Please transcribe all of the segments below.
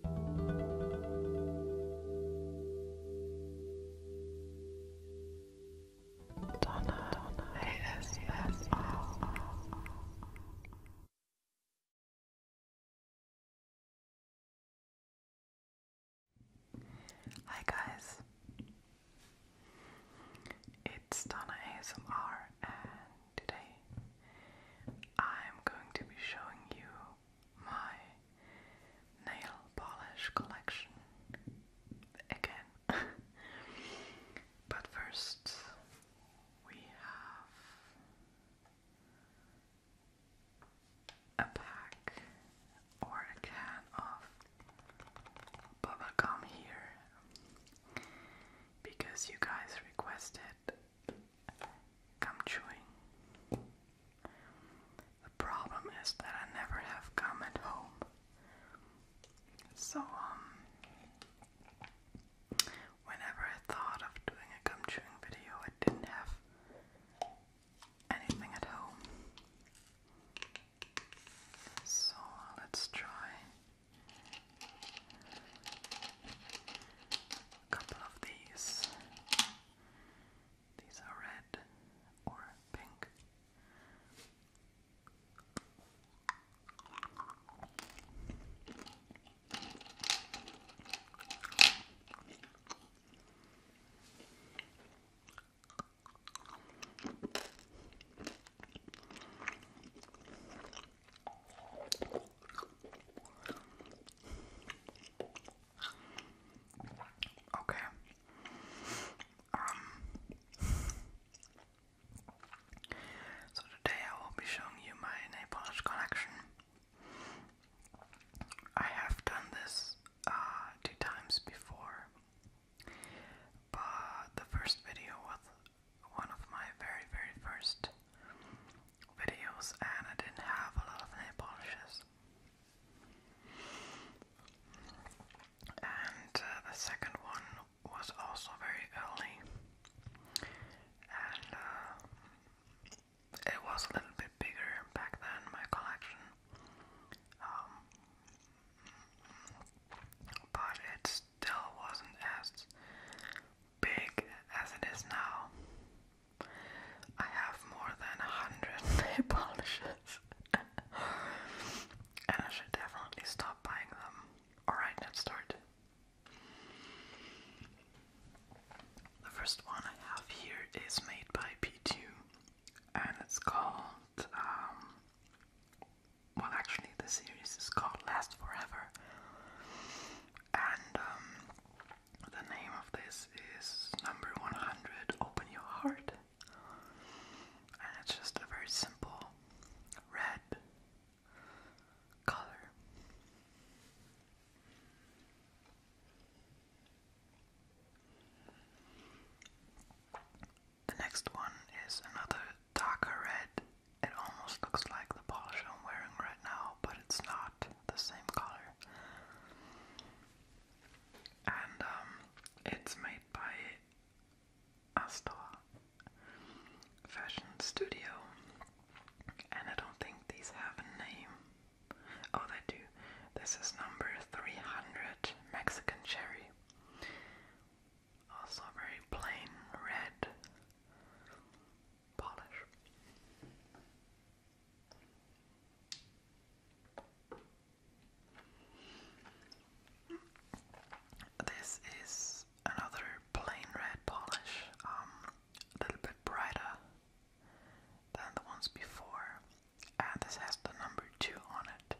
Donna, Donna, yes, yes, Hi guys, it's Donna ASMR, and today I'm going to be showing you my nail polish collection again. but first, we have a pack or a can of bubblegum here because you guys requested gum chewing. The problem is that I never have gum at home. So, um, whenever I thought of doing a gum chewing video, I didn't have anything at home. So, let's try a couple of these. These are red or pink. Okay. Um, so today I will be showing you my nail polish collection. I have done this uh, two times before, but the first video was one of my very very first videos and I didn't have a lot of nail polishes. And uh, the second one was also very early, and uh, it was a little bit bigger back then, my collection. Um, but it still wasn't as big as it is now. I have more than a hundred nail polishes, and I should definitely stop buying them. Alright, let's start. The first one I have here is made by p and it's called. Um, well, actually, the series is called Last Forever, and um, the name of this is number 100 Open Your Heart. And it's just a very simple red color. The next one is another darker red. It almost looks like the polish I'm wearing right now, but it's not the same color. And um, it's made by Astor Fashion Studio. And I don't think these have a name. Oh, they do. This is number 300 Mexican Cherry. Also, very plain red polish. This is another plain red polish, um, a little bit brighter than the ones before, and this has the number 2 on it,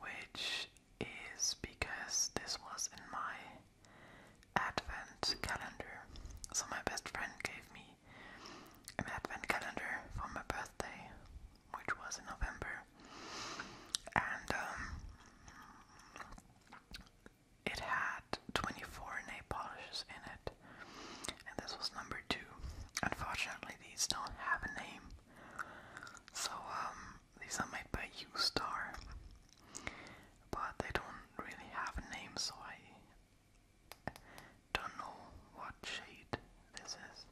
which is because this was in my advent calendar. So my best friend gave me an advent calendar for my birthday, which was in November, and um, it had 24 nail polishes in it, and this was number two. Unfortunately, these don't have a name, so um, these are made by U Star, but they don't really have a name, so I don't know what shade this is.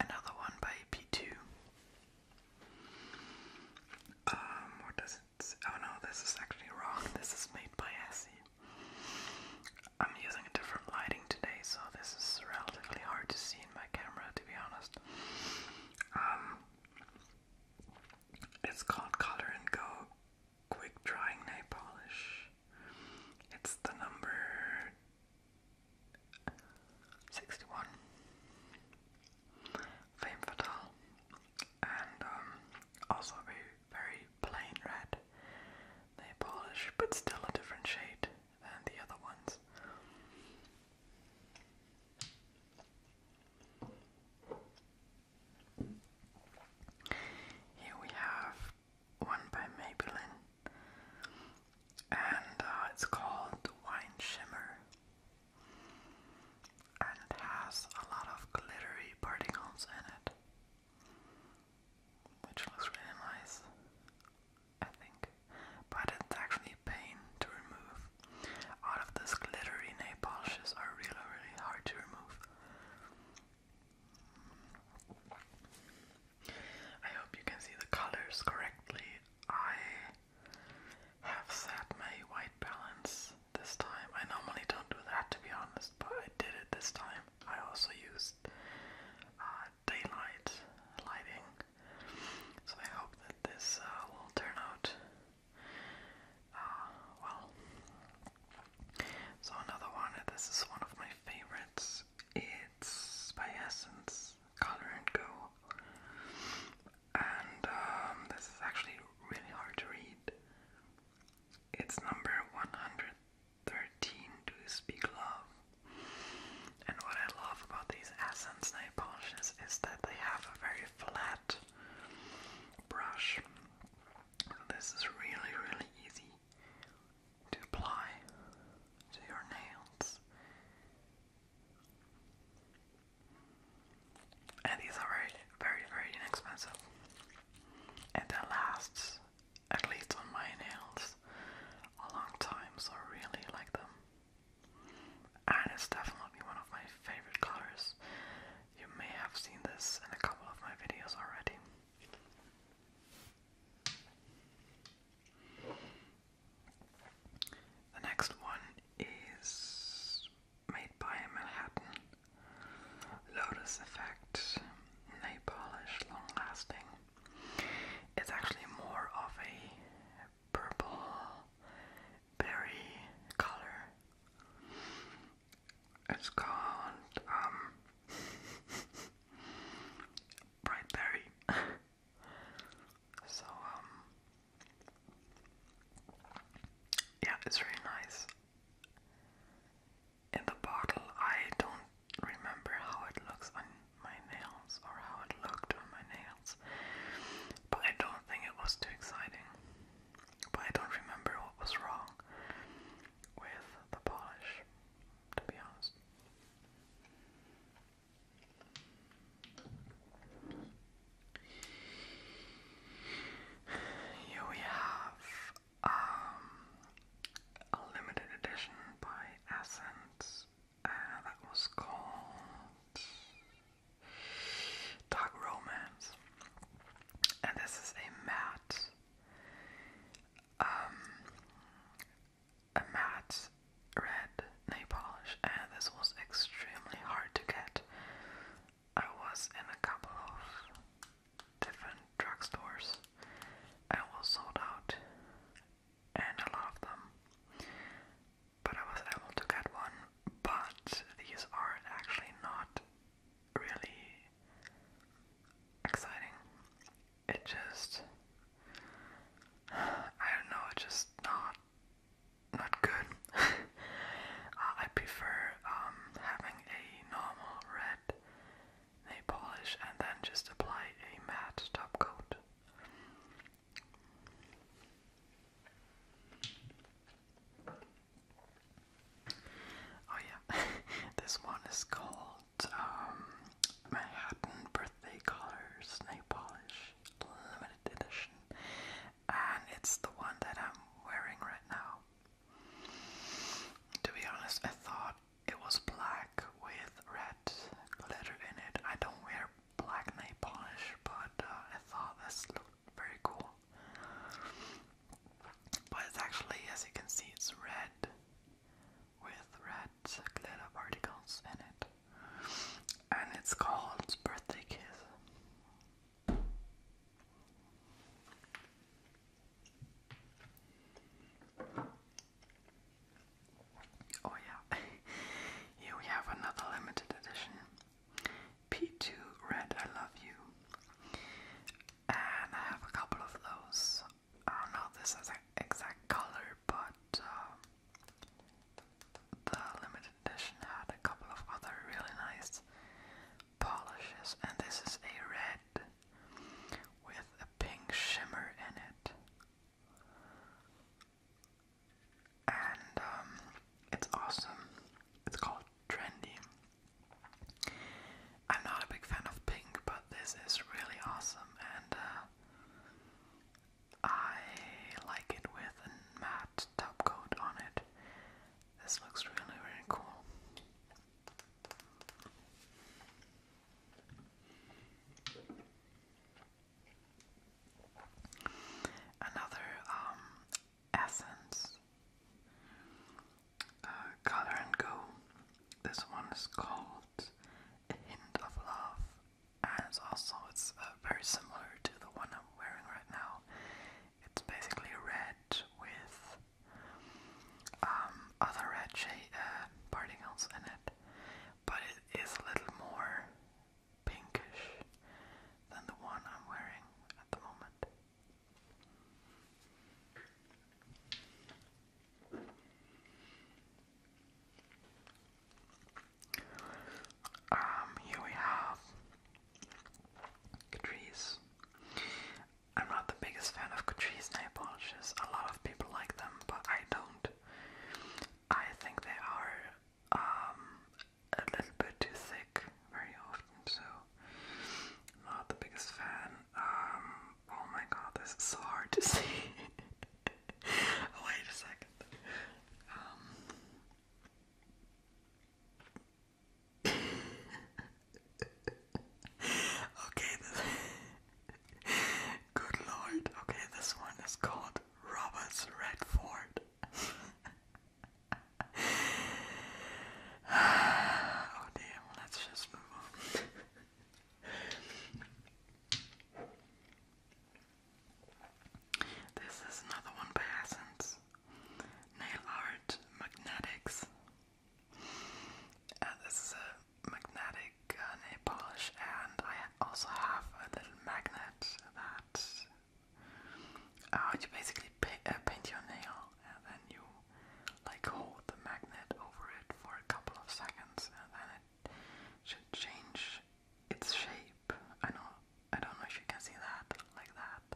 Another one by P2. Um, what does it Oh no, this is actually wrong. This is made by Essie. I'm using a different lighting today, so this is relatively hard to see my camera, to be honest. Um, it's called Color and Go Quick Drying Nail Polish. It's the number 61. Fame Fatale. And um, also a very, very plain red nail polish, but still a different shade. And the other ones. Here we have one by Maybelline, and uh, it's called Wine Shimmer, and has a lot of glittery particles in it, which looks really nice. I think, but it's actually pain to remove. All of these glittery nail polishes are really, really hard to remove. I hope you can see the colors correctly. I have set my white balance this time. I normally don't do that to be honest, but I did it this time. I also used uh, daylight lighting. So I hope that this uh, will turn out uh, well. So another one, this is one of my favorites. It's by Essence, Color and Go. And um, this is actually really hard to read. It's number 100. 13 to Speak Love. And what I love about these Essence Nail Polishes is that they have a very flat brush. This is really, really easy to apply to your nails. And these are very, very, very inexpensive. And that lasts at least on my nails, a long time, so I really like them. And it's definitely one of my favorite colors. You may have seen this in a couple of my videos already. The next one is made by Manhattan Lotus Effect Nail Polish Long Lasting. It's actually more of a purple berry color. It's called um bright berry. so um yeah, it's really nice. In the bottle, I don't remember how it looks on my nails or how it looked on my nails. But I don't think it was too exciting. But I don't remember what was wrong with the polish, to be honest. Here we have um, a limited edition by Essence uh, that was called Dark Romance, and this is a matte, um, a matte red nail polish, and this was extremely hard to get. I was in a couple of different drugstores and was sold out and a lot of them. But I was able to get one, but these are actually not really exciting. It just I don't know, it's just not not good. Uh, I prefer um having a normal red a polish, and then just apply a matte top coat. Oh yeah, this one is called um, Manhattan Birthday Colors Nail Polish Limited Edition, and it's the one that I'm wearing right now. To be honest, I thought it was black with red glitter in it. I don't wear black nail polish, but uh, I thought this looked very cool. But it's actually, as you can see, it's red with red glitter particles in it. And it's called Birthday Kiss. Oh yeah, here we have another limited edition P2 Red I Love You. And I have a couple of those. I don't know this exact color, but um, the limited edition had a couple of other really nice polishes, and this is a red with a pink shimmer in it and um, it's awesome. It's called Trendy. I'm not a big fan of pink, but this is really awesome, and uh, I like it with a matte top coat on it. This looks really, really cool. Another um, essence uh, Color and Go. This one is called A Hint of Love, and it's also it's uh, very similar to the one I'm wearing right now. It's basically red with um, other red shade, uh, particles in it, but it is a little more pinkish than the one I'm wearing at the moment. Um, here we have Catrice. I'm not the biggest fan of Catrice nail polishes. A lot of people like them, but I don't. I think they are um, a little bit too thick very often, so not the biggest fan. Um, oh my god, this is so hard to see. Wait a second. Um, okay, Good lord. Okay, this one is called Robert's Redford. oh damn, let's just move on. this is another one by Essence. Nail Art Magnetics. Uh, magnetic uh, nail polish, and I also have a little magnet that uh, you basically uh, paint your nail, and then you like hold the magnet over it for a couple of seconds, and then it should change its shape. I know, I don't know if you can see that like that,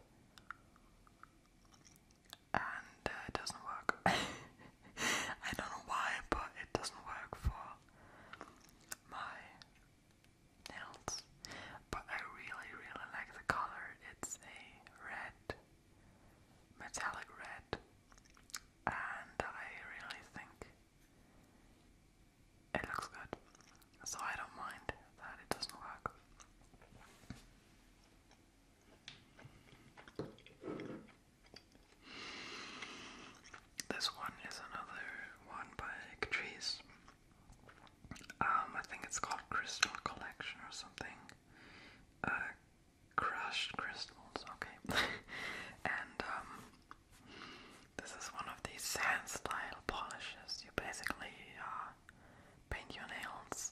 and uh, it doesn't work. I don't know why, but it doesn't work for my nails. But I really, really like the color. It's a red, metallic red, and I really think it looks good. So I don't mind that it doesn't work. This one is another one by Catrice. Um, I think it's called Crystal Collection or something. Uh, crushed crystals, okay. and um, this is one of these sand style polishes. You basically uh, paint your nails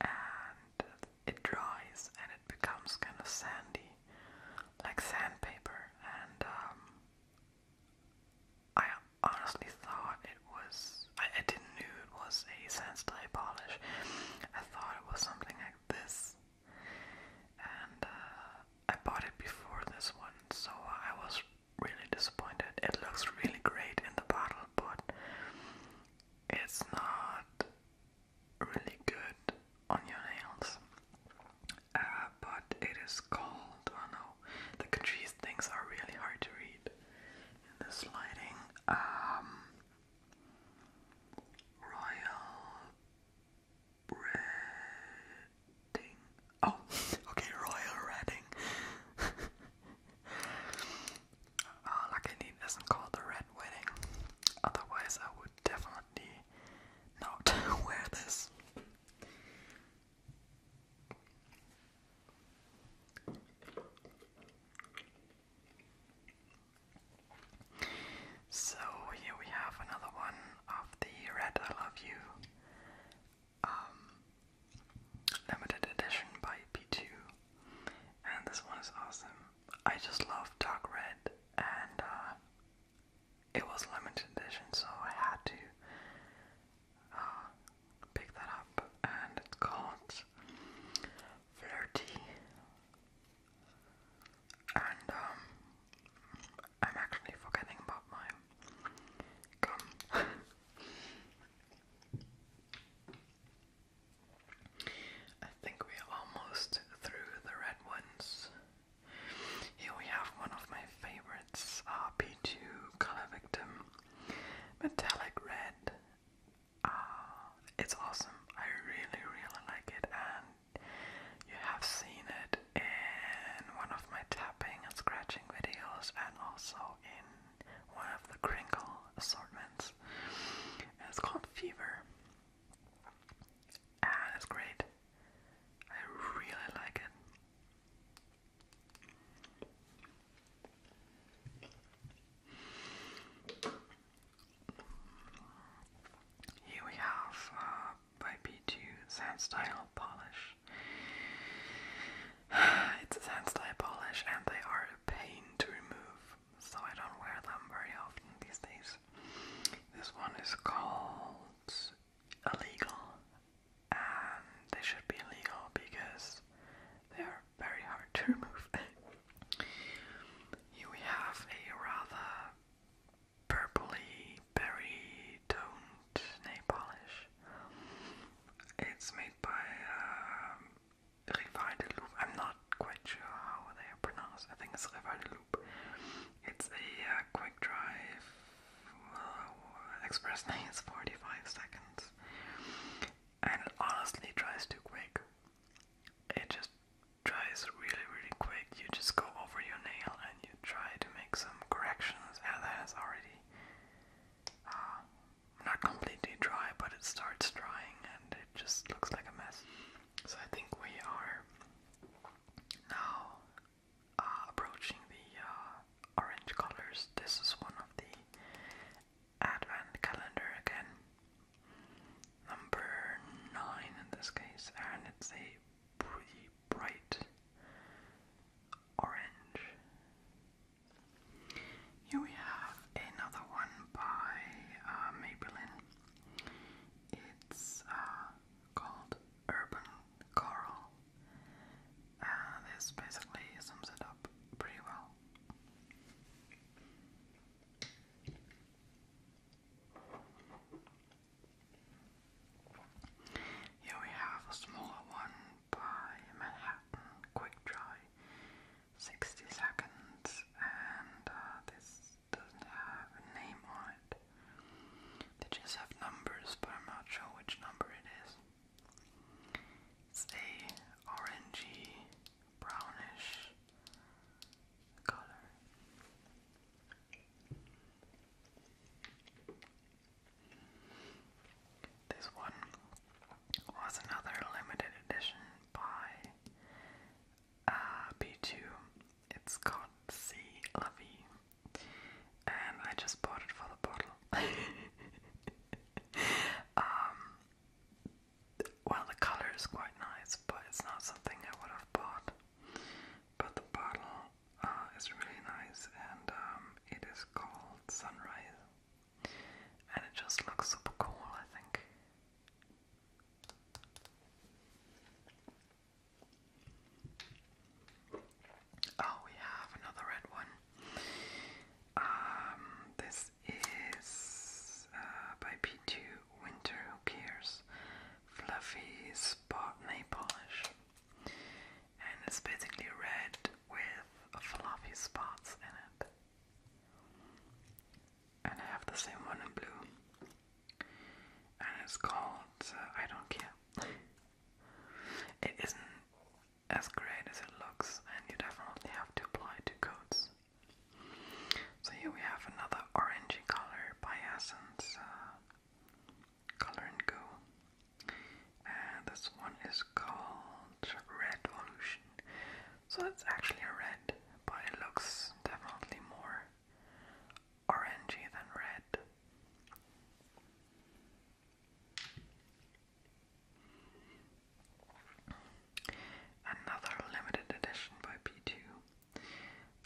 and it dries and it becomes kind of sandy, like sandpaper. And um, I honestly thought it was, I, didn't know it was a sandstone polish. I thought it was something like this. And uh, I bought it before this one, so I was really disappointed. It looks really great in the bottle, but it's not really good on your nails. Uh, but it is called, oh no, the Catrice things are really hard to read in this lighting. Um, Royal Redding. Oh, okay, Royal Redding. oh, lucky it isn't called the Red Wedding. Otherwise, I definitely not wear this. So here we have another one of the Red I Love You um, limited edition by P2, and this one is awesome. I just love dark red, and uh, it was limited edition, so I had to uh, pick that up. And it's called Flirty, and um, I'm actually forgetting about mine. gum. I think we're almost through the red ones. Here we have one of my favorites, RP2 Color Victim Metallic Red. Uh, it's awesome. I really, really like it, and you have seen it in one of my tapping and scratching videos, and also in one of the crinkle assortments. it's called Fever. Ah, that's great. I really like it. Here we have uh, 2 sand style polish. It's sand style polish, and they are a pain to remove so I don't wear them very often these days. This one is called Illegal, and they should be illegal because they are very hard to remove. Here we have a rather purpley berry toned nail polish. It's made by um, Rival de Loup. I'm not quite sure how they are pronounced. I think it's Rival de Loup. It's a uh, quick drive. Uh, express is 45 seconds. And it honestly drives too quick. It just drives really, really quick. You just go over your nail and you try to make some corrections. And has already uh, not completely dry, but it starts drying and it just looks like a mess. So I think we are now uh, approaching the uh, orange colors. This is one of the advent calendar again, number nine in this case, and it's a pretty bright orange. Here we have another one by uh, Maybelline. It's uh, called urban coral, uh, this basically sums it up pretty well. Here we have a smaller one by Manhattan Quick Dry 60 seconds and uh, this doesn't have a name on it. They just have numbers, but I'm not sure which number it is. It's a orangey, brownish color. This one was another limited edition by uh, B2. It's called C. Lovey. And I just bought it for the bottle. um, well, the color is quite nice, but it's not something I would have bought. But the bottle uh, is really nice, and um, it is called Sunrise. And it just looks super cool, I think. Oh, we have another red one. Um, this is uh, by P2 Winter Who Cares Fluffy Spot Nail Polish. And it's basically red with fluffy spots in it and I have the same one in blue, and it's called uh, I Don't Care. it isn't as great as it looks, and you definitely have to apply two coats. So here we have another orangey color by Essence uh, Color and Go, and this one is called Red so it's actually a red, but it looks definitely more orangey than red. Another limited edition by P2.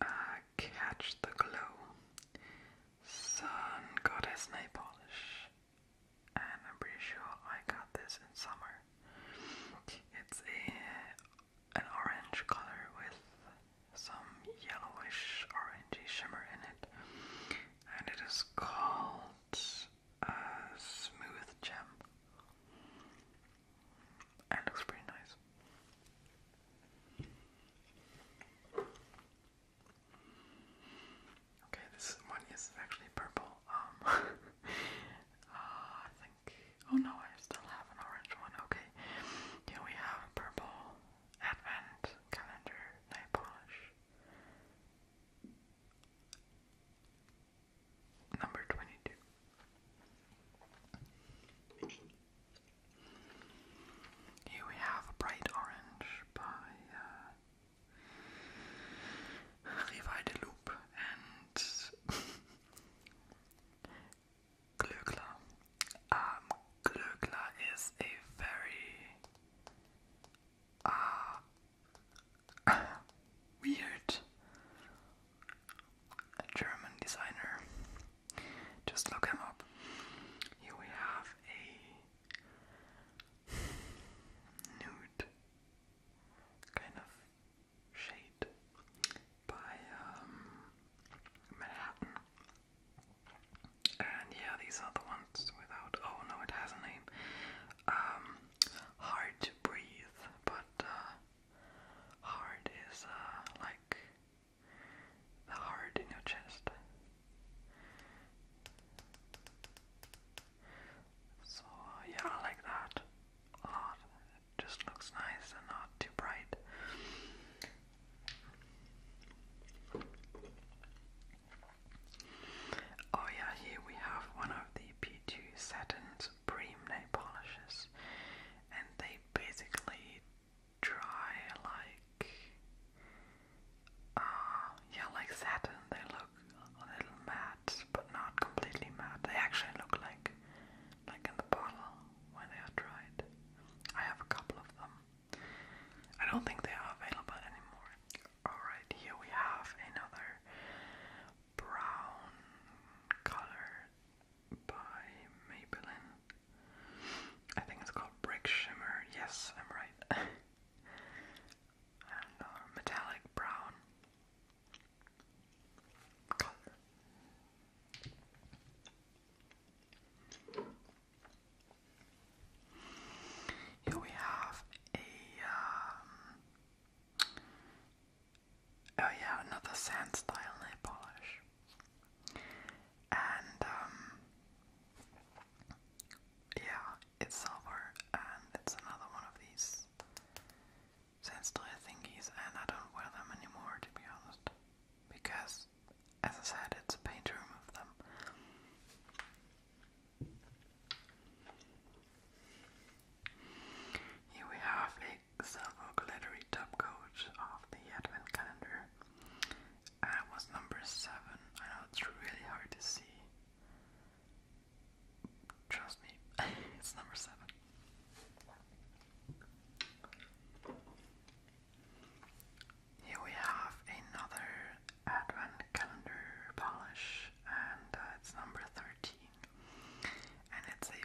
Uh, catch the glow. Sun Goddess Nail Polish. And I'm pretty sure I got this in summer. It's a an orange color with some yellowish orangey shimmer in it, and it is called uh, Smooth Gem. And looks pretty nice. Okay, this one is actually purple. Um, uh, Oh no, I still have an orange one. Okay. Here we have a purple advent calendar nail polish. Number 22. Here we have a bright orange by uh, Rivai de Loop and Glöckler. Um, Glöckler is a very uh, weird German designer. Just look him up. Here we have a nude kind of shade by um, Manhattan. And yeah, these are the ones without. Oh no, it has a name. Um, hard to breathe, but uh, hard is uh, like the heart in your chest. So yeah, I like that a lot just looks nice and not too bright. Oh yeah, here we have one of the P2 Saturn's Prime nail polishes, and they basically dry like, uh, yeah, like satin. They look a little matte, but not completely matte. They actually look like like in the bottle where they are dried. I have a couple of them. I don't think they are available anymore. Alright, here we have another brown color by Maybelline. I think it's called Brick Shimmer. Yes, I'm right. and uh, metallic brown color. Here we have a, um, oh yeah, another sand style nail polish. And, um, yeah, it's silver, and it's another one of these since I think he's and I don't wear them anymore to be honest. Because as I said it's a pain to remove them. Here we have a silver glittery top coat of the Advent calendar. it was number seven. I know it's really hard to see. Trust me, it's number seven. Here we have another Advent calendar polish, and uh, it's number 13. And it's a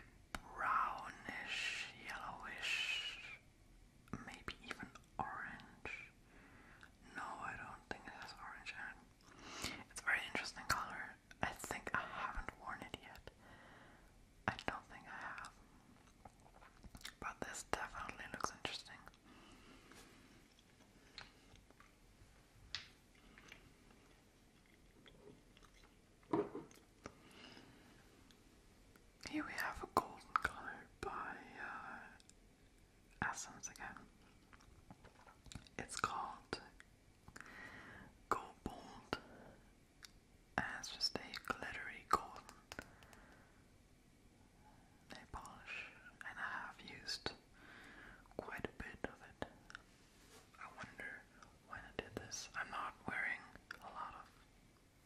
brownish, yellowish, maybe even orange. No, I don't think it has orange in it. It's very interesting color. I think I haven't worn it yet. I don't think I have. But this definitely looks interesting. Here we have a golden color by uh, Essence again. It's called Gold as just a glittery golden nail polish, and I have used quite a bit of it. I wonder when I did this. I'm not wearing a lot of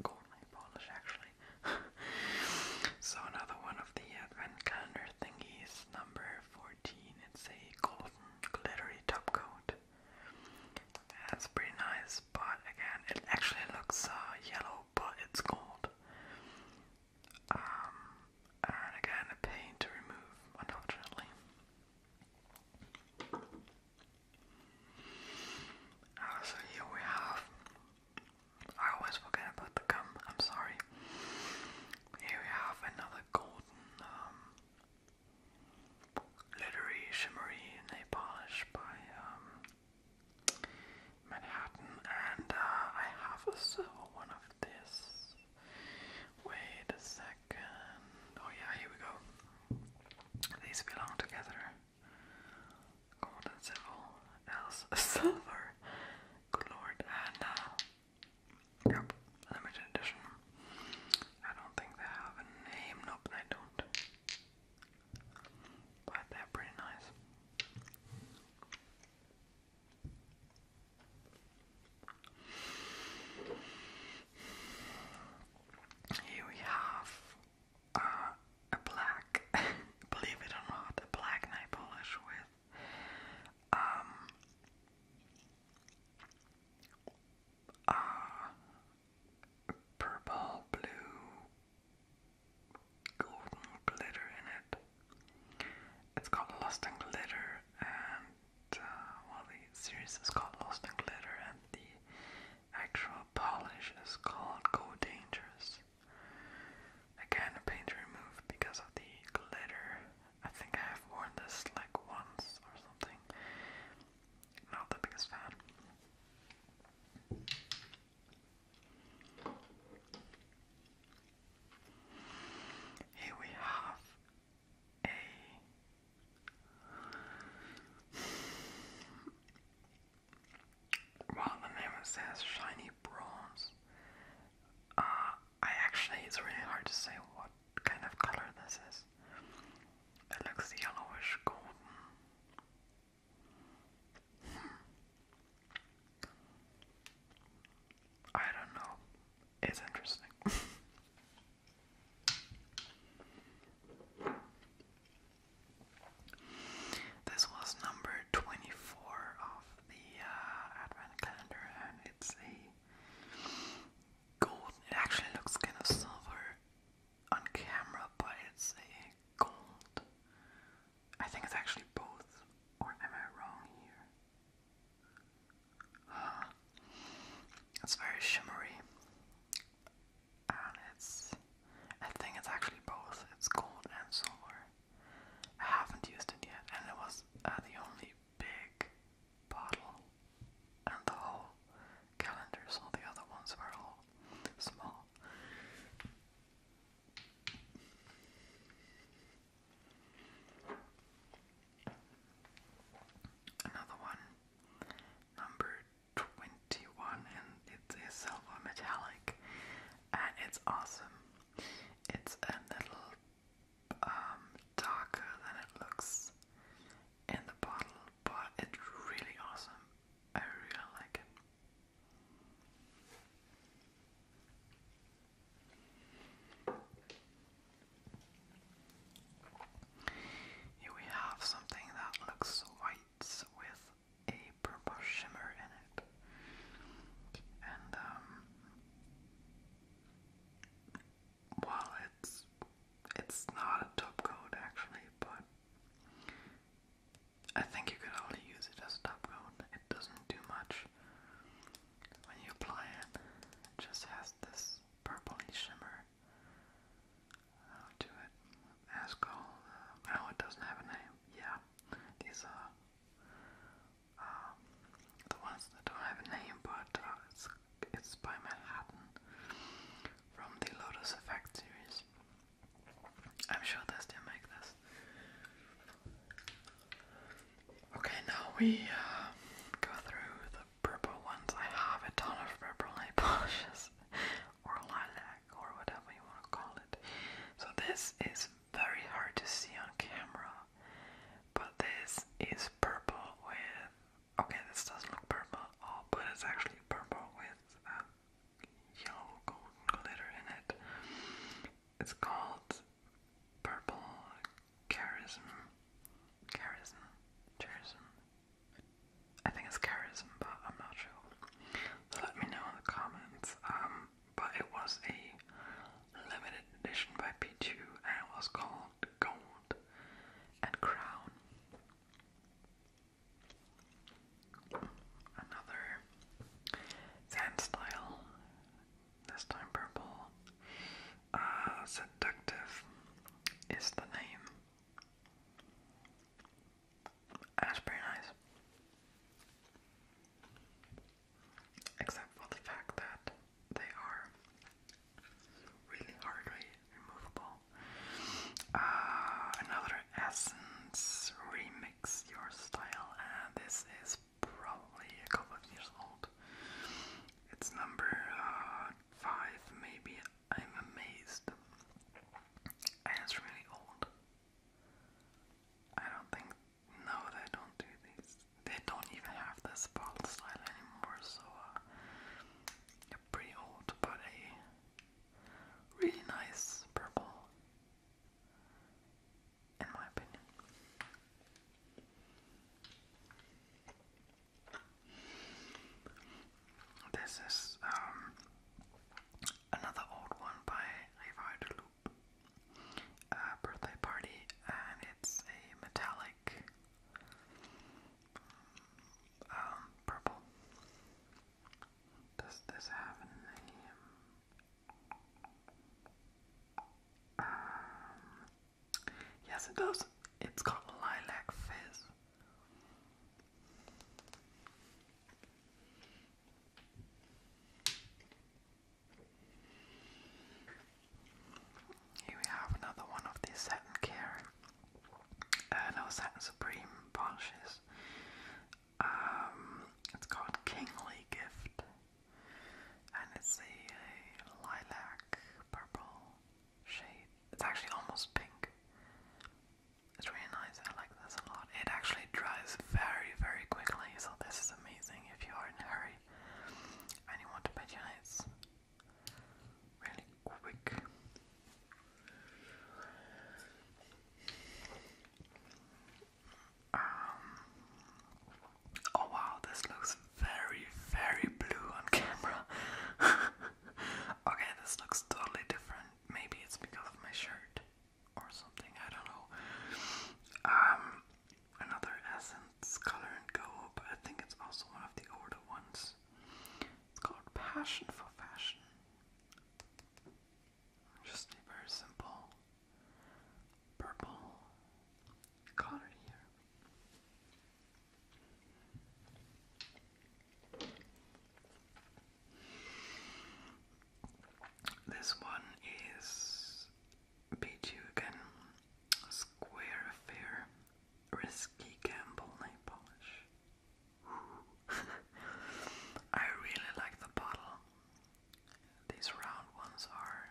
gold nail polish actually. so another one of the advent calendar thingies, number 14. It's a golden glittery top coat. That's pretty nice, but again, it actually looks uh, yellow, but it's gold. Um, and again, a pain to remove, unfortunately. Oh, so here we have. I always forget about the gum. I'm sorry. Here we have another golden um, Glittery, shimmery nail polish by um, Manhattan, and uh, I have a silver one of this. Wait a second. Oh yeah, here we go. These belong together. Gold and silver, else silver. Good lord, and uh, Yep, limited edition. I don't think they have a name. Nope, they don't. But they're pretty nice. Here we have uh, a black, believe it or not, a black nail polish with um, Ah, purple, blue, golden glitter in it. It's called Lost and Glitter, and uh, the series is called Lost and Glitter, and the actual polish is called Go Dangerous. Again, a paint remove because of the glitter I think I have worn this like once or something. Not the biggest fan. Here we have a well the name says shiny bronze. Uh I actually it's really hard to say what kind of color this is. It looks yellowish golden. Hmm. I don't know. It's interesting. this was number 24 of the uh, Advent calendar, and it's a golden. It actually looks kind of silver on camera, but it's a gold. I think it's actually both, or am I wrong here? It's very shimmery, and it's. I think it's actually both. It's gold and silver. I haven't used it yet, and it was uh, the only big bottle, and the whole calendars, all the other ones were all small. Another one, number 21, and it's a silver metallic, and it's awesome. It's a little um, darker than it looks in the bottle, but it's really awesome. I really like it. Here we have something that looks white with a purple shimmer in it. And um well, it's it's not a top coat actually, but I think you could only use it as a top coat. It doesn't do much when you apply it. just has this purpley shimmer uh, to it. As called, uh, oh, it doesn't have a name. Yeah, these are uh, um, the ones that don't have a name, but uh, it's, it's by Manhattan from the Lotus Effect series. I'm sure they still make this. Okay, now we uh, go through the purple ones. I have a ton of purple nail polishes, or lilac, or whatever you want to call it. So this is very hard to see on camera, but this is purple with. Okay, this doesn't look purple at oh, but it's actually purple with um, yellow golden glitter in it. It's called Purple Charism. Charism. Charism. I think it's charism, but I'm not sure. let me know in the comments. Um, but it was a limited edition by P2 and it was called gold, gold, and crown. Another sand style, this time purple. Uh, seductive is the name. That's pretty nice except for the fact that they are really hardly removable. Uh, another Essence Remix Your Style, and this is probably a couple of years old. It's number uh, five, maybe. I'm amazed. it's really old. I don't think. No, they don't do these they don't even have this bottle style anymore, so uh, pretty old, but a really nice purple, in my opinion. This is um, another old one by Levi Deloup, uh, Birthday Party, and it's a metallic um, purple. Does this have a name? Um, yes, it does. It's called Lilac Fizz. Here we have another one of these Saturn Care, uh, no Supreme polishes. Um, it's called Kingly Gift, and it's a lilac purple shade. It's actually almost pink. It's really nice. I like this a lot. It actually dries very, very quickly, so this is amazing if you are in a hurry and you want to bet your eyes really quick. Um, oh wow, this looks very, very blue on camera. okay, this looks totally different. Maybe it's because of my shirt or something, I don't know. Um, another essence color and go, but I think it's also one of the older ones. It's called Passion for Fashion. Just a very simple purple color here. This one is beat you again. Square affair. Risky gamble nail polish. I really like the bottle. These round ones are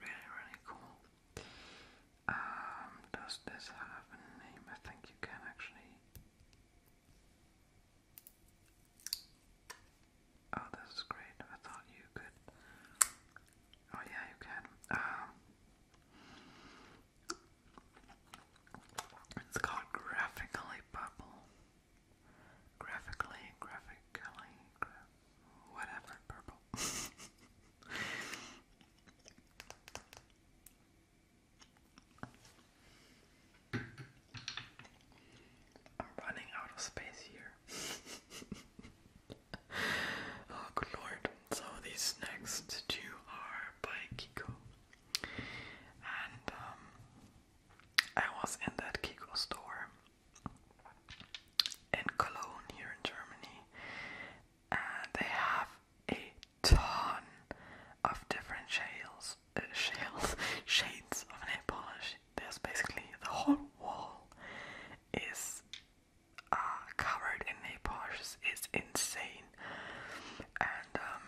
really, really cool. Um, does this have a name? I think you can actually. Oh, this is great. I thought you could. Oh, yeah, you can. Um, it's called Graphically Bubble. Graphically, graphically, whatever, purple. I'm running out of space here. oh, good lord. So, these next two are by Kiko. And um, I was in that Kiko store in Cologne here in Germany, and they have a ton of different shales, uh, shades of nail polish. There's basically the whole wall is uh, covered in napash is insane, and um,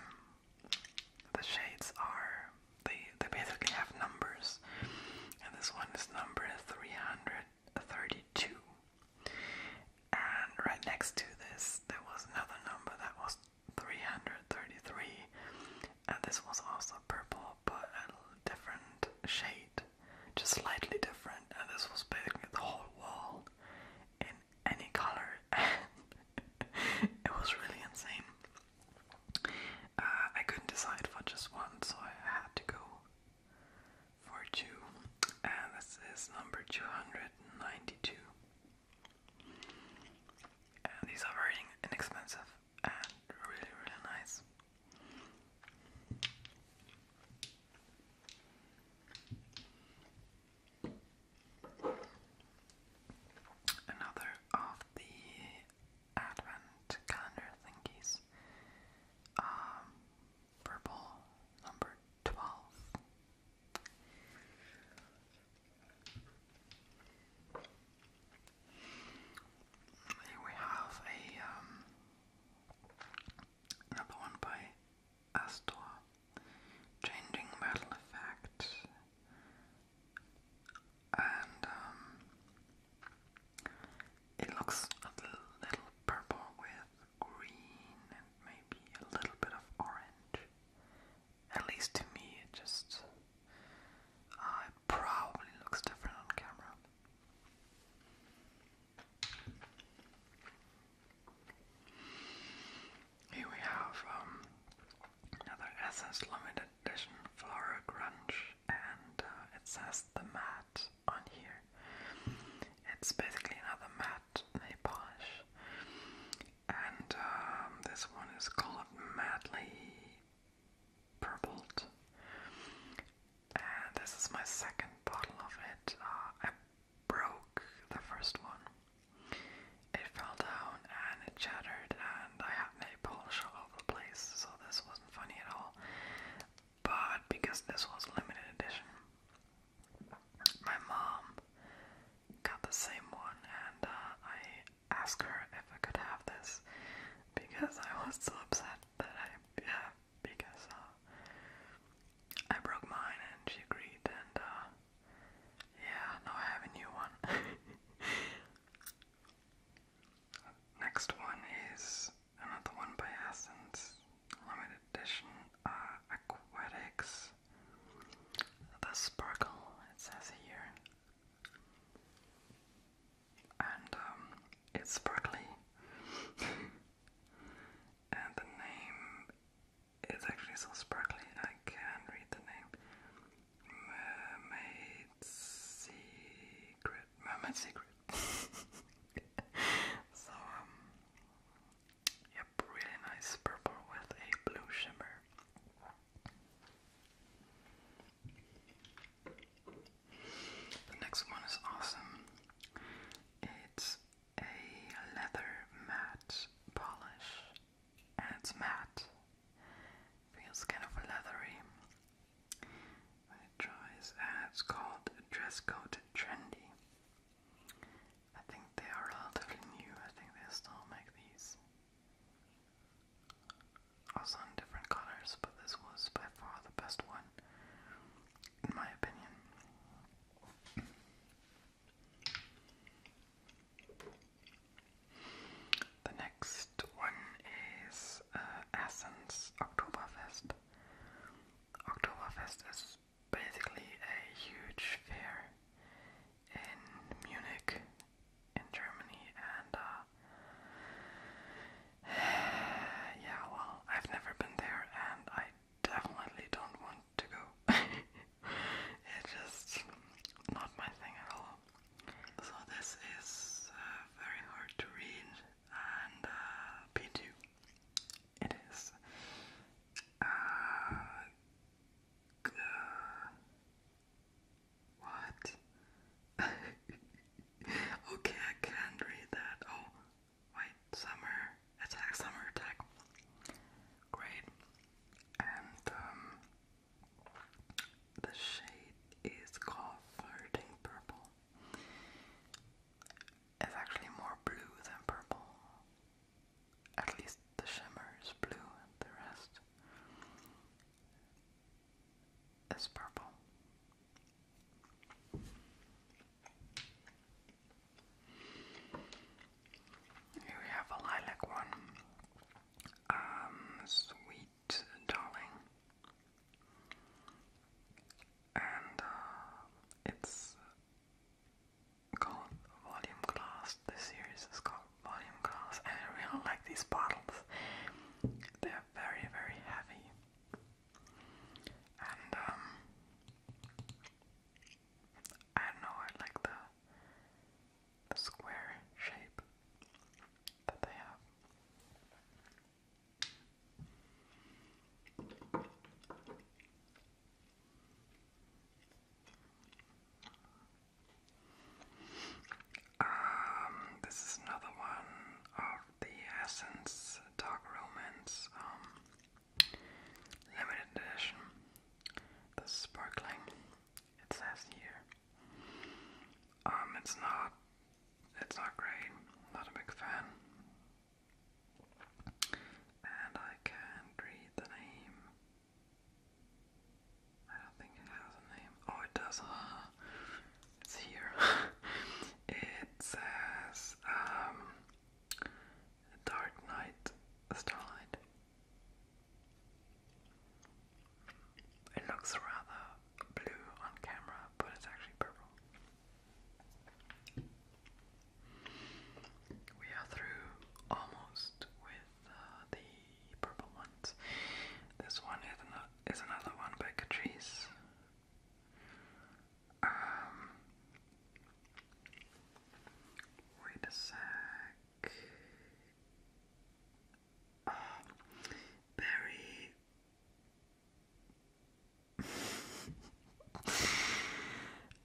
the shades are they they basically have numbers, and this one is number three hundred thirty-two. And right next to this, there was another number that was 333, and this was also purple but a different shade, just slightly different. And this was basically the whole wall in any color, and it was really insane. Uh, I couldn't decide for just one, so I had to go for two, and this is number 292. And these are very inexpensive and really, really nice. Another of the advent calendar thingies. Um, purple number 12 we have um, another one by Astor. Changing metal effects. And um, it looks a little, purple with green and maybe a little bit of orange. At least to me, it just uh, it probably looks different on camera. Here we have um, another Essence Limited Edition Flower Grunge, and uh, it says the mat on here. It's basically another mat nail polish, and um, this one is called Madly purpled. And this is my second bottle of it. Uh, I broke the first one. It fell down and it shattered, and I had nail polish all over the place, so this wasn't funny at all. But because this was limited edition, my mom got the same one, and uh, I asked her if I could have this because I was so upset that I have because uh, I broke mine and she agreed and uh, yeah, now I have a new one. Next one is another one by Essence, limited edition uh, Aquatics. The Sparkle, it says here and um, it's sparkly. and the name is actually so sparkly, I can't read the name. Mermaid Secret. Mermaid Secret. so, um, yep, really nice purple with a blue shimmer. The next one is awesome. It's a leather matte polish, and it's matte. Feels kind of leathery when it dries, it's called Dress Code Trendy. I think they are relatively new. I think they still make these. Also in different colors, but this was by far the best one, in my opinion. The next one is uh, Oktoberfest. Oktoberfest is basically a huge fair in Munich, in Germany, and uh, yeah, well, I've never been there and I definitely don't want to go. it's just not my thing at all. So, this is uh, very hard to read and uh, P2. It is. Uh, what? okay, I can read that. Oh, wait, summer attack, summer attack. Great. And um, the shade is called Flirting Purple. It's actually more blue than purple. At least the shimmer is blue and the rest is purple. we have a lilac one. Um, sweet darling. And uh, it's called Volume Glass. This series is called Volume Glass. And I really like these bottles. They're very, very heavy. And um I know, I like the square shape that they have. Um, this is another one of the Essence Dark Romance um, limited edition. The sparkling, it says here. Um, it's not, it's not great. Not a big fan. And I can't read the name. I don't think it has a name. Oh, it does. it's here. it says um, Dark Knight Starlight. It looks rather blue on camera, but it's actually purple. We are through almost with uh, the purple ones. This one is an is another one by Catrice. Um, wait a sec.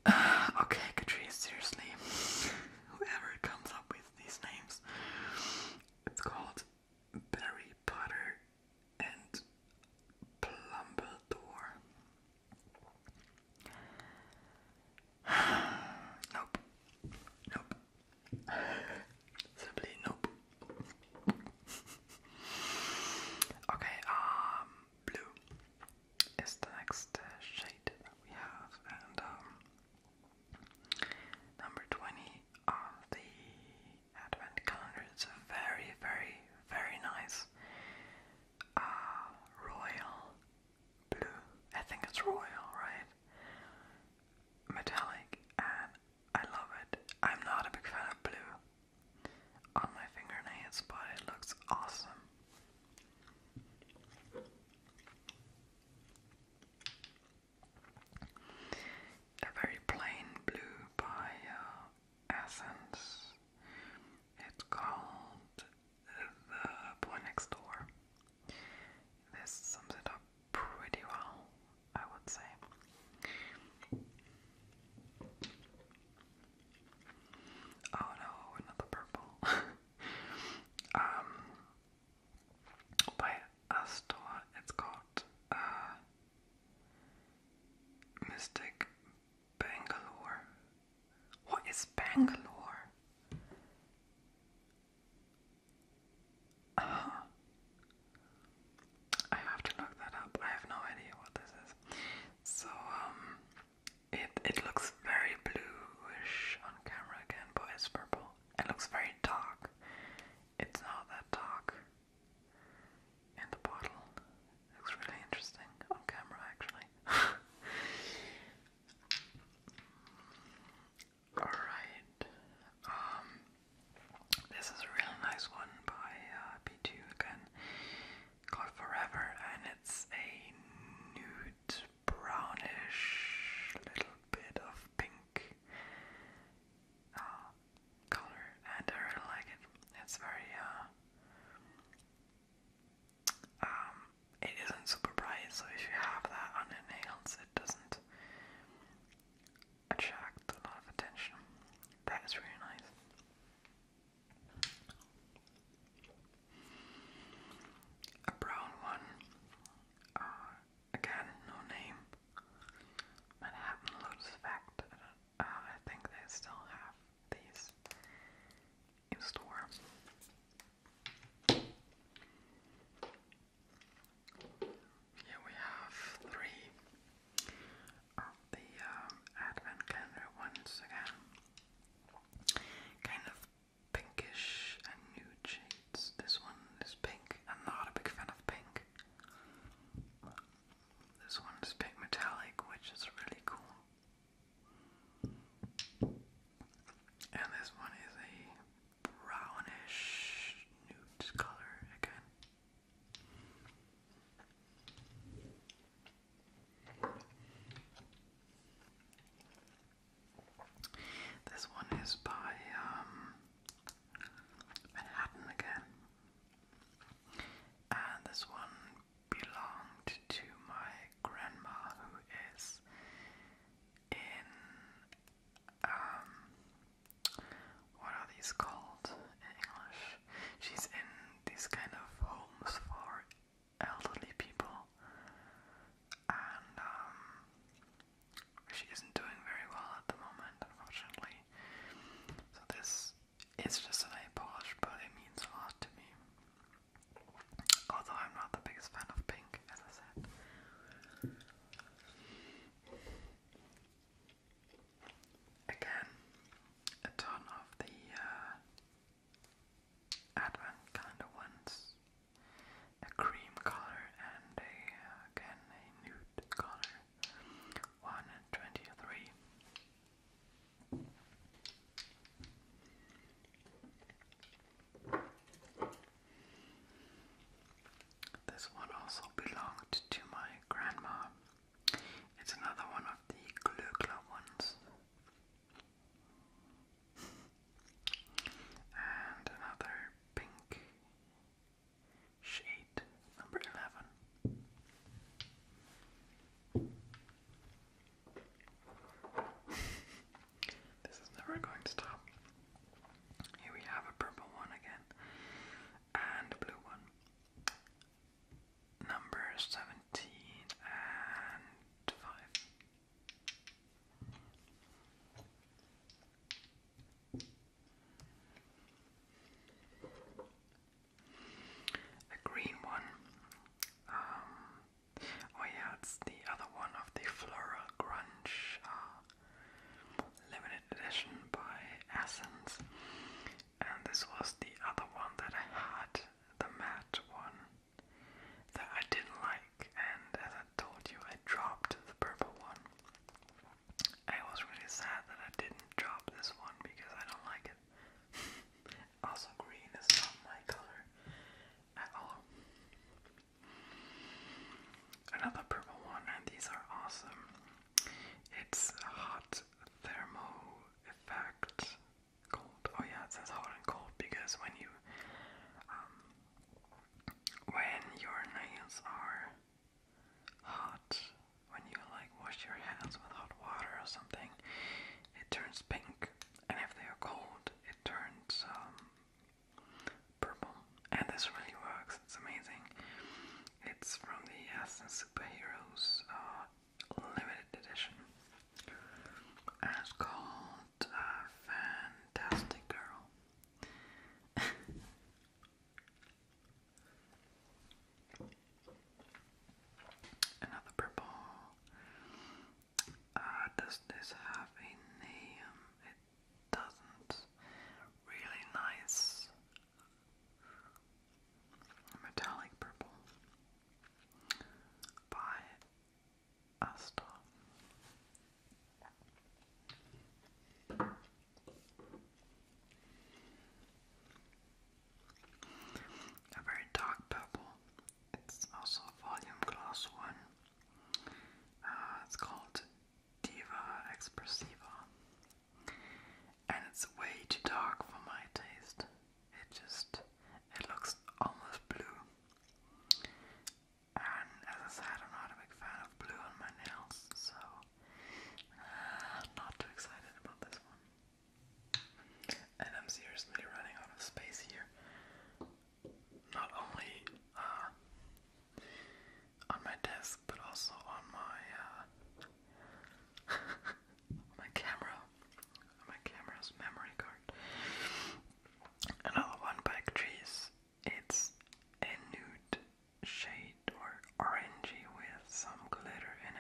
Oh, okay, Catrice, seriously. Whoever comes up with these names. It's called Barry Potter and Plumbledore. nope. Nope. Simply nope. okay, um, blue is the next uh, shade that we have, and um, Number 20 on the advent calendar. It's very, very, very nice uh, royal blue. I think it's royal, right? Metallic, and I love it. I'm not a big fan of blue on my fingernails, but it looks awesome. A very plain blue by uh, Essence. It's called The Boy Next Door. This sums it up pretty well, I would say. Oh no, another purple. um, by a store. It's called uh, Mystic Bangalore. What is Bangalore? Uh-huh. I have to look that up. I have no idea what this is. So um, it it looks very bluish on camera again, but it's purple. It looks very dark. It's not that dark in the bottle. Looks really interesting on camera, actually. Alright. Um, this is a real nice one by uh, 2 again, called Forever, and it's a nude brownish little bit of pink uh, color, and I really like it. It's very, uh, um, it isn't super bright, so if you have that on your nails, it doesn't attract a lot of attention. That is really nice. A brown one. Uh, again, no name. Manhattan Lotus Effect. Uh, I, think they still have these in store. Here we have three of the um, advent calendar once again. Kind of pinkish and new this one is pink. I'm not a big fan of pink. This one is pink metallic, which is really cool. And this one is a brownish nude color again. This one is by um, Manhattan again. And this one belonged to my grandma, who is in um what are these called in English? She's in these kind of homes for elderly people, and um she isn't doing very well at the moment, unfortunately. So this is just an polish, but it means a lot to me. Although I'm not the biggest fan of pink, as I said. Again, a ton of the uh, Advent calendar ones. A cream color and uh, again, a nude Connor, 123. This one also belonged to my grandma. It's another one of the Glöckler ones. and another pink Shade number 11. this is never going to stop. Here we have a purple one again and a blue one. Number 17 and 5. A green one. Um, oh yeah, it's the other one of the Floral Grunge uh, limited edition by Essence. And this was the other one that I had, the matte one, that I didn't like. And as I told you, I dropped the purple one. I was really sad that I didn't drop this one because I don't like it. also, green is not my color at all. Another purple one, and these are awesome. It's hot thermo effect cold. Oh yeah, it says hot and cold because when you um, when your nails are hot when you like wash your hands with hot water or something, it turns pink, and if they are cold, it turns um, purple. And this really works, it's amazing. It's from the Essence Superheroes uh, Limited Edition. And it's called uh, Fantastic Girl. Another purple. Uh, does this have a name? It doesn't. Really nice metallic purple by Asta. A very dark purple. It's also volume class one. Uh, it's called Diva Expressiva. And it's way too dark for my taste. It just it looks almost blue. And as I said, I'm not a big fan of blue on my nails, so uh, not too excited about this one. And I'm seriously running out of space here. Not only uh, on my desk, but also on my uh, my camera, my camera's memory card. Another one by trees it's a nude shade or orangey with some glitter in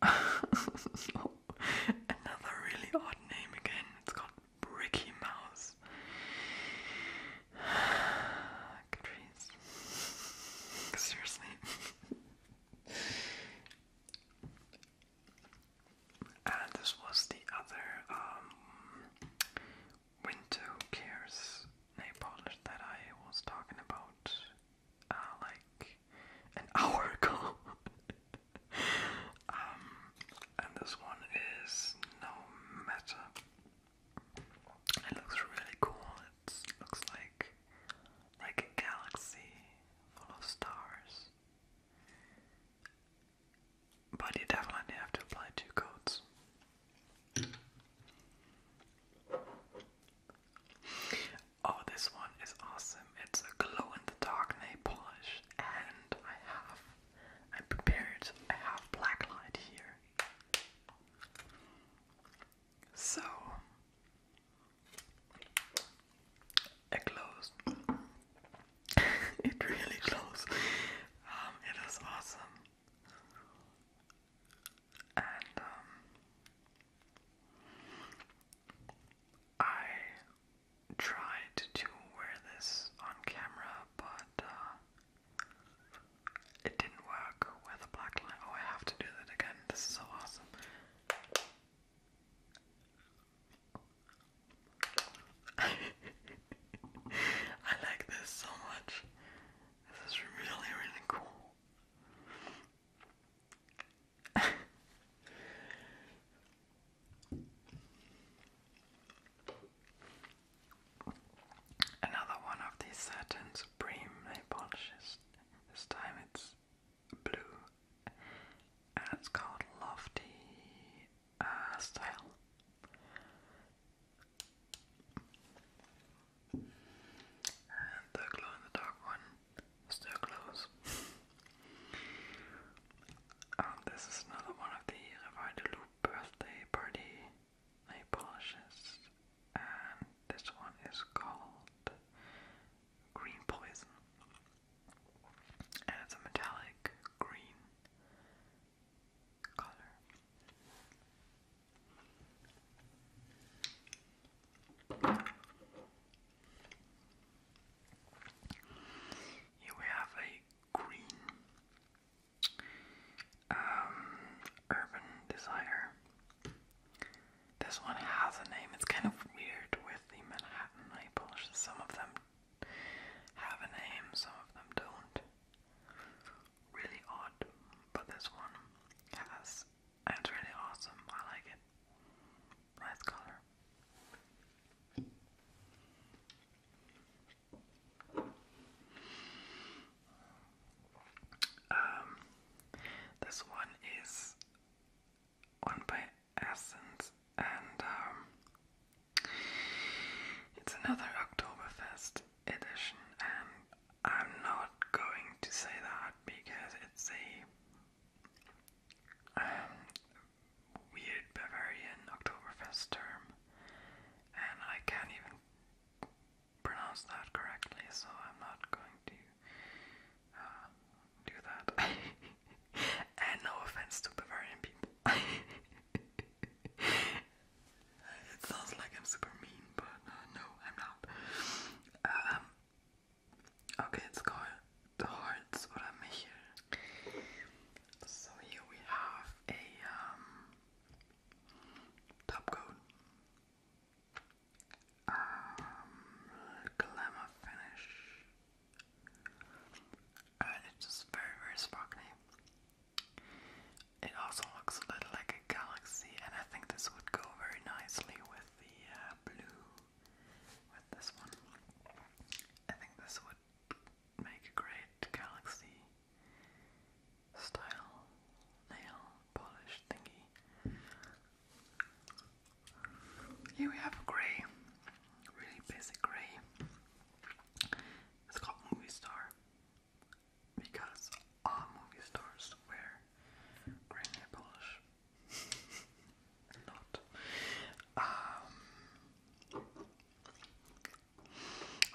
it. so, another really odd name again. It's called Bricky Mouse. Seriously. And this was the other um, window Who Cares nail polish that I was talking about uh, like an hour ago. Um, and this one is No Matter. It looks really cool. It looks like like a galaxy full of stars. But you definitely have to apply two coats. Oh, this one is awesome. It's a glow in the dark nail polish, and I have, i prepared, I have black light here. So, a glow it really close. Um, it is awesome. And um, I tried to wear this on camera, but uh, it didn't work with a black Oh, I have to do that again. This is so awesome. I like this so much. This is really, really cool. Another one of these satin supreme nail polishes. This time it's blue it's called Lofty uh, style. And the glow in the dark one still glows. this is another one of the Revider Loop birthday party nail polishes, and this one is called Green Poison and it's a metallic green color. Here we have a green um, Urban Desire. This one has a name, it's kind of weird with the Manhattan Maples. Some of them have a name, some of them don't. Really odd, but this one has, and really awesome, I like it. Nice color. Um, this one is one by essence, and um, it's another Oktoberfest edition, and I'm not going to say that because it's a um, weird Bavarian Oktoberfest term, and I can't even pronounce that correctly, so I'm not going to uh, do that. and no offense to Bavarian people. it sounds like I'm super mean, but uh, no, I'm not. Um, okay, it's called the Hearts or Michel. So here we have a um, top coat. Um, glamour finish and it's just very, very sparkly. It also looks a little like a galaxy, and I think this would go very nicely with the uh, blue. With this one, I think this would make a great galaxy style nail polish thingy. Here we have grey really basic grey. It's called Movie Star because all movie stars wear grey nail polish. Not. Um,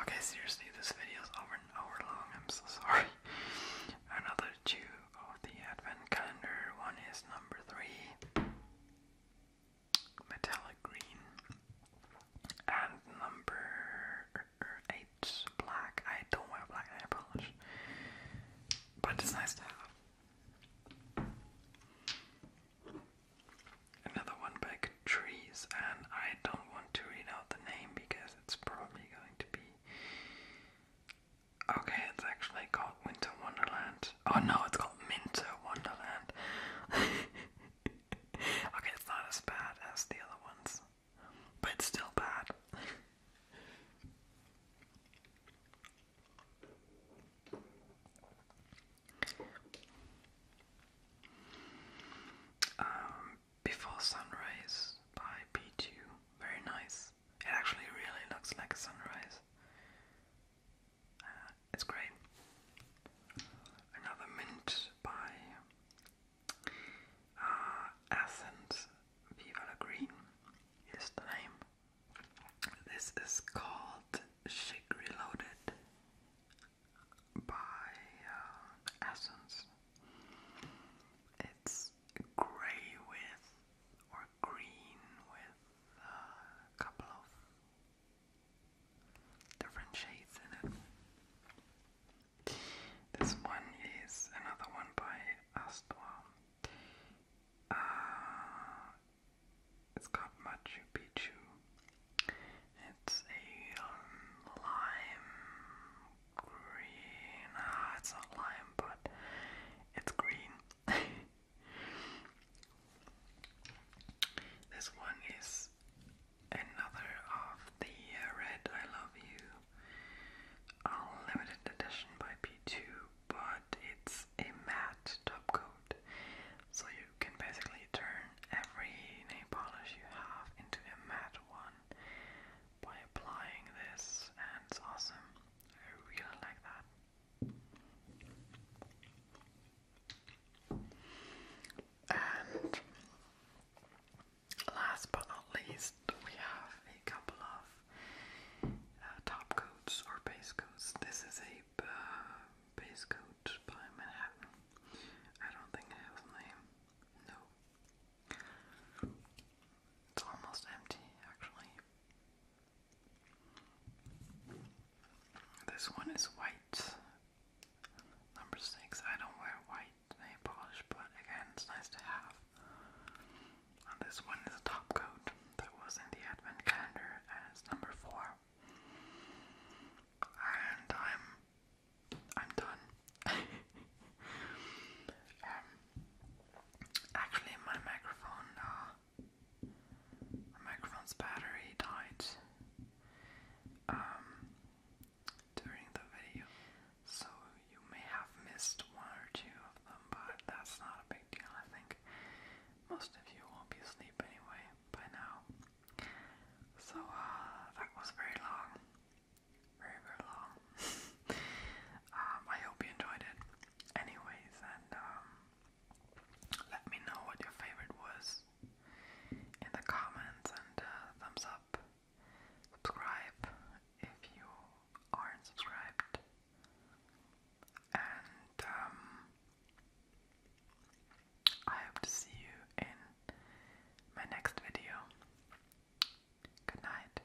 okay, seriously, this video is over an hour long. I'm so sorry. Another two of the advent calendar. One is number three metallic green. And number eight, black. I don't wear black nail polish, but it's nice to have. Another one by Catrice, and I don't want to read out the name because it's probably going to be. Okay, it's actually called Winter Wonderland. Oh no, it's called Minto Wonderland. okay, it's not as bad as the other ones, but it's still bad. um, Before Sunrise by P2. Very nice. It actually really looks like sunrise it's great. Another mint by uh, Athens Green is the name. This is called Shake Reloaded by uh, It's grey with or green with uh, a couple of different shades in it. This one is another one by Astor. Uh, it's called Machu Picchu. It's a um, lime green. Ah, it's not lime, but it's green. This one is another of the uh, Red I Love You a limited edition by P2, but it's a matte top coat. So you can basically turn every nail polish you have into a matte one by applying this, and it's awesome. I really like that. And last but not least, we have a couple of uh, top coats or base coats. This is a uh, base coat by Manhattan. I don't think it has a name. No. It's almost empty, actually. This one is white. Number six. I don't wear white nail polish, but again, it's nice to have. this one is a top coat that was in the advent calendar as number four. And I'm I'm done. Um, actually, my microphone uh, my microphone's battery died um, during the video, so you may have missed one or two of them, but that's not a big deal, I think. Most of you won't be asleep anyway by now. So, uh, that was very long. Very, very long. Um, I hope you enjoyed it. Anyways, and, um, let me know what your favorite was in the comments and uh, thumbs up. Subscribe if you aren't subscribed. And um, I hope to see you in my next video. Good night.